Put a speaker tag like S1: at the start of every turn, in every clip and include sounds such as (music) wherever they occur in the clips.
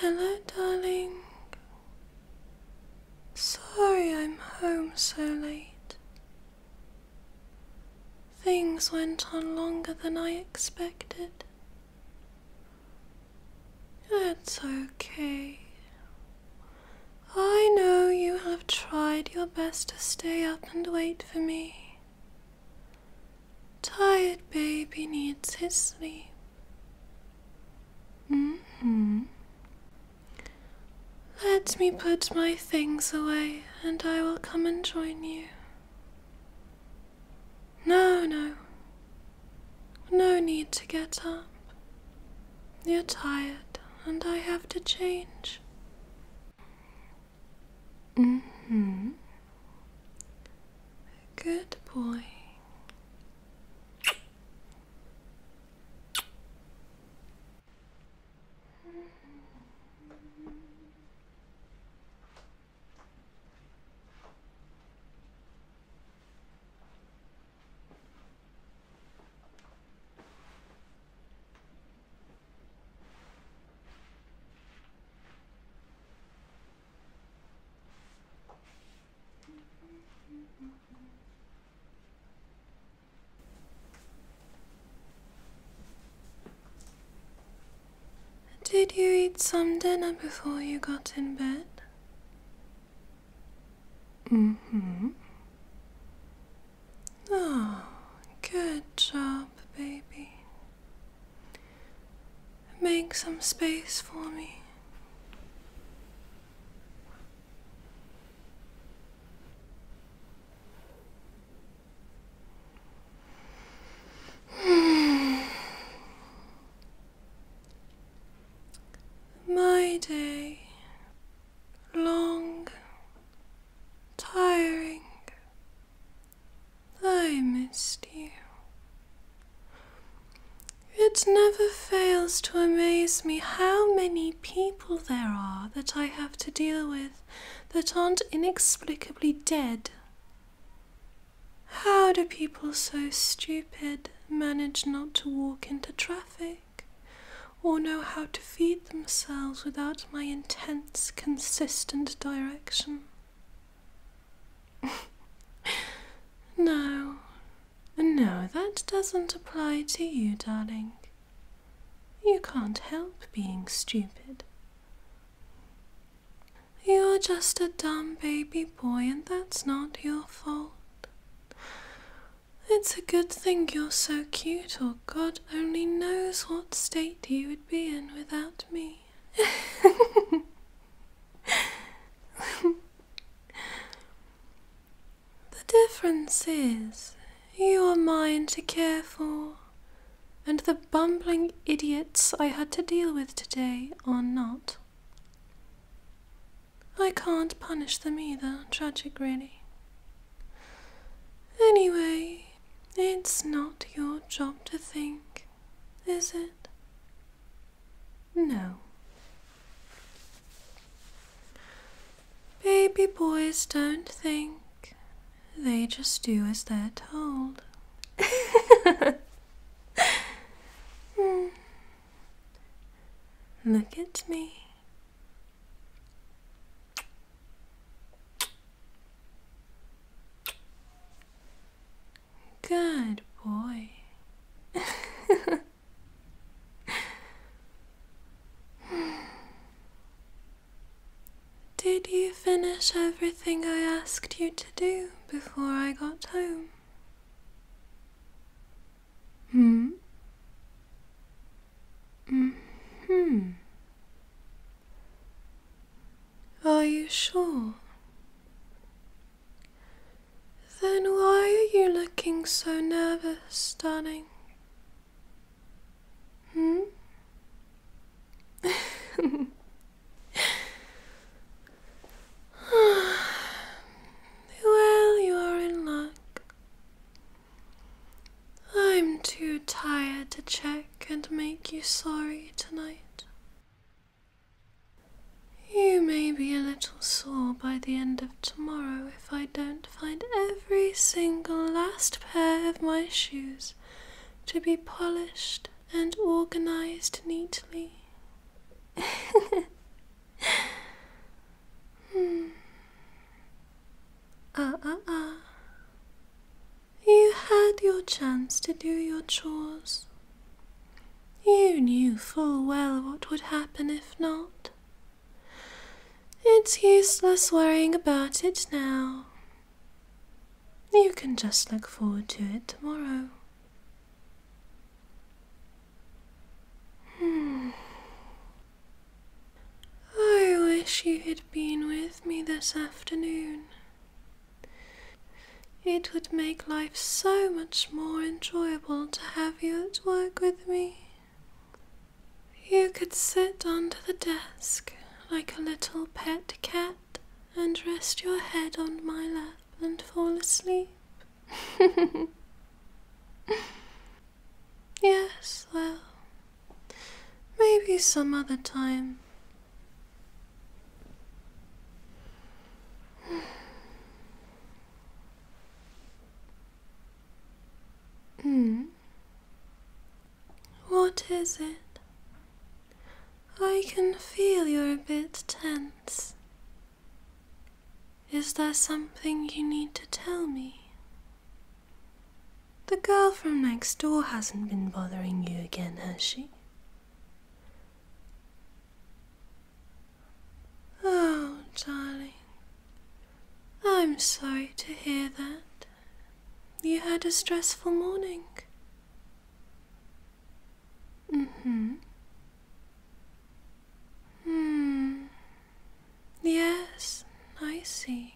S1: Hello, darling. Sorry I'm home so late. Things went on longer than I expected. That's okay. I know you have tried your best to stay up and wait for me. Tired baby needs his sleep. hmm. Let me put my things away and I will come and join you. No, no. No need to get up. You're tired and I have to change. Mm hmm. Good boy. Did you eat some dinner before you got in bed? hmm. Oh, good job, baby. Make some space for me. Hmm. My day, long, tiring, I miss you. It never fails to amaze me how many people there are that I have to deal with that aren't inexplicably dead. How do people so stupid manage not to walk into traffic or know how to feed themselves without my intense, consistent direction? no, no, that doesn't apply to you, darling. You can't help being stupid. You're just a dumb baby boy, and that's not your fault. It's a good thing you're so cute, or God only knows what state you would be in without me. (laughs) the difference is you are mine to care for, and the bumbling idiots I had to deal with today are not. I can't punish them either, tragic really. Anyway, it's not your job to think is it? No. Baby boys don't think, they just do as they're told. (laughs) Hmm. Look at me. Good boy. Did you finish everything I asked you to do before I got home? Hmm? Mm hmm. Are you sure? Then why are you looking so nervous, darling? Hmm? (laughs) well, you are in luck. I'm too tired to check and make you sorry tonight. You may be a little sore by the end of tomorrow if I don't find every single last pair of my shoes to be polished and organized neatly. (laughs) Hmm. Ah, ah, ah. You had your chance to do your chores. You knew full well what would happen if not. It's useless worrying about it now. You can just look forward to it tomorrow. Hmm. I wish you had been with me this afternoon. It would make life so much more enjoyable to have you at work with me. You could sit under the desk like a little pet cat and rest your head on my lap and fall asleep. (laughs) yes, well, maybe some other time. Hmm. What is it? I can feel you're a bit tense. Is there something you need to tell me? The girl from next door hasn't been bothering you again, has she? Oh, darling, I'm sorry to hear that. You had a stressful morning. Mm hmm. Hmm. Yes, I see.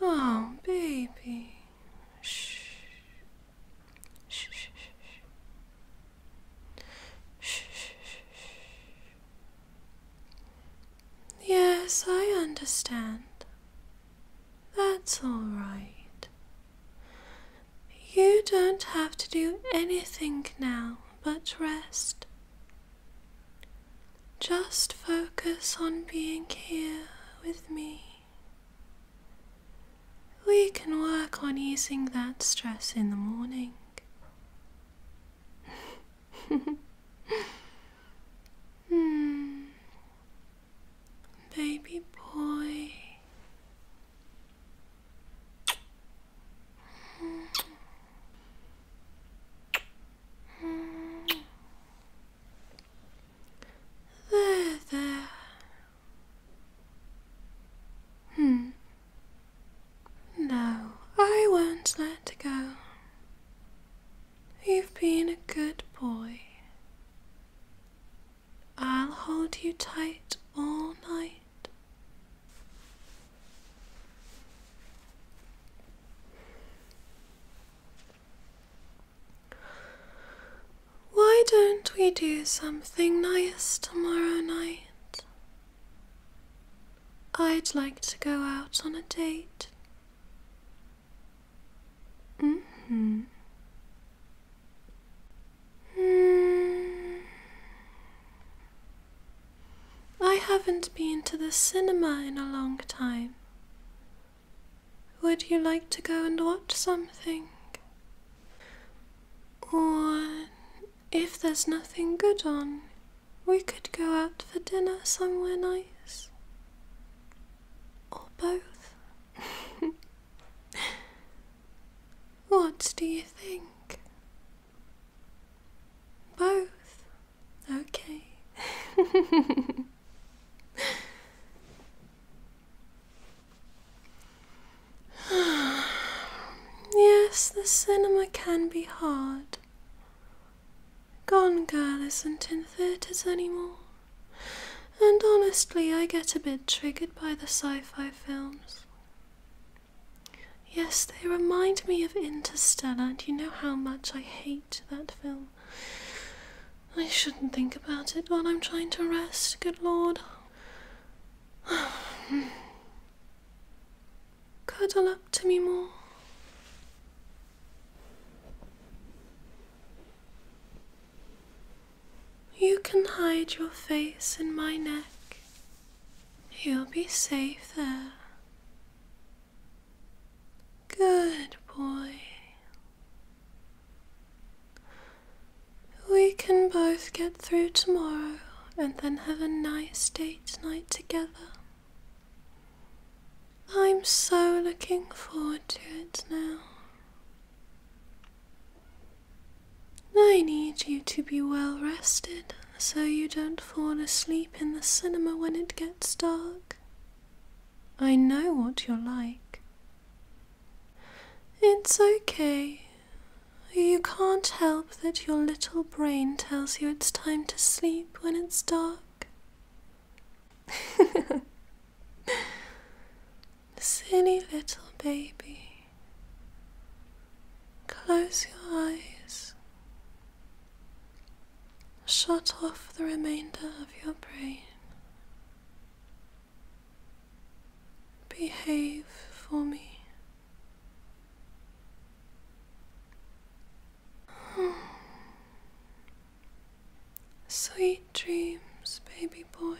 S1: Oh, baby. Shh. Yes, I understand. That's all right. You don't have to do anything now but rest. Just focus on being here with me. We can work on easing that stress in the morning. hmm. Baby boy. Hmm. Hmm. There, there. Hmm. No, I won't let go. You've been a good boy. I'll hold you tight all night. Why don't we do something nice tomorrow night? I'd like to go out on a date. Mm hmm. I haven't been to the cinema in a long time. Would you like to go and watch something? Or if there's nothing good on, we could go out for dinner somewhere nice. Or both. (laughs) what do you think? Both? Okay. (laughs) (sighs) yes, the cinema can be hard. Gone Girl isn't in theatres anymore. And honestly, I get a bit triggered by the sci fi films. Yes, they remind me of Interstellar, and you know how much I hate that film. I shouldn't think about it while I'm trying to rest, good lord. (sighs) Cuddle up to me more. You can hide your face in my neck. You'll be safe there. Good boy. We can both get through tomorrow and then have a nice date night together. I'm so looking forward to it now. I need you to be well rested so you don't fall asleep in the cinema when it gets dark. I know what you're like. It's okay. You can't help that your little brain tells you it's time to sleep when it's dark. (laughs) Silly little baby. Close your eyes. Shut off the remainder of your brain behave for me. Sweet dreams, baby boy.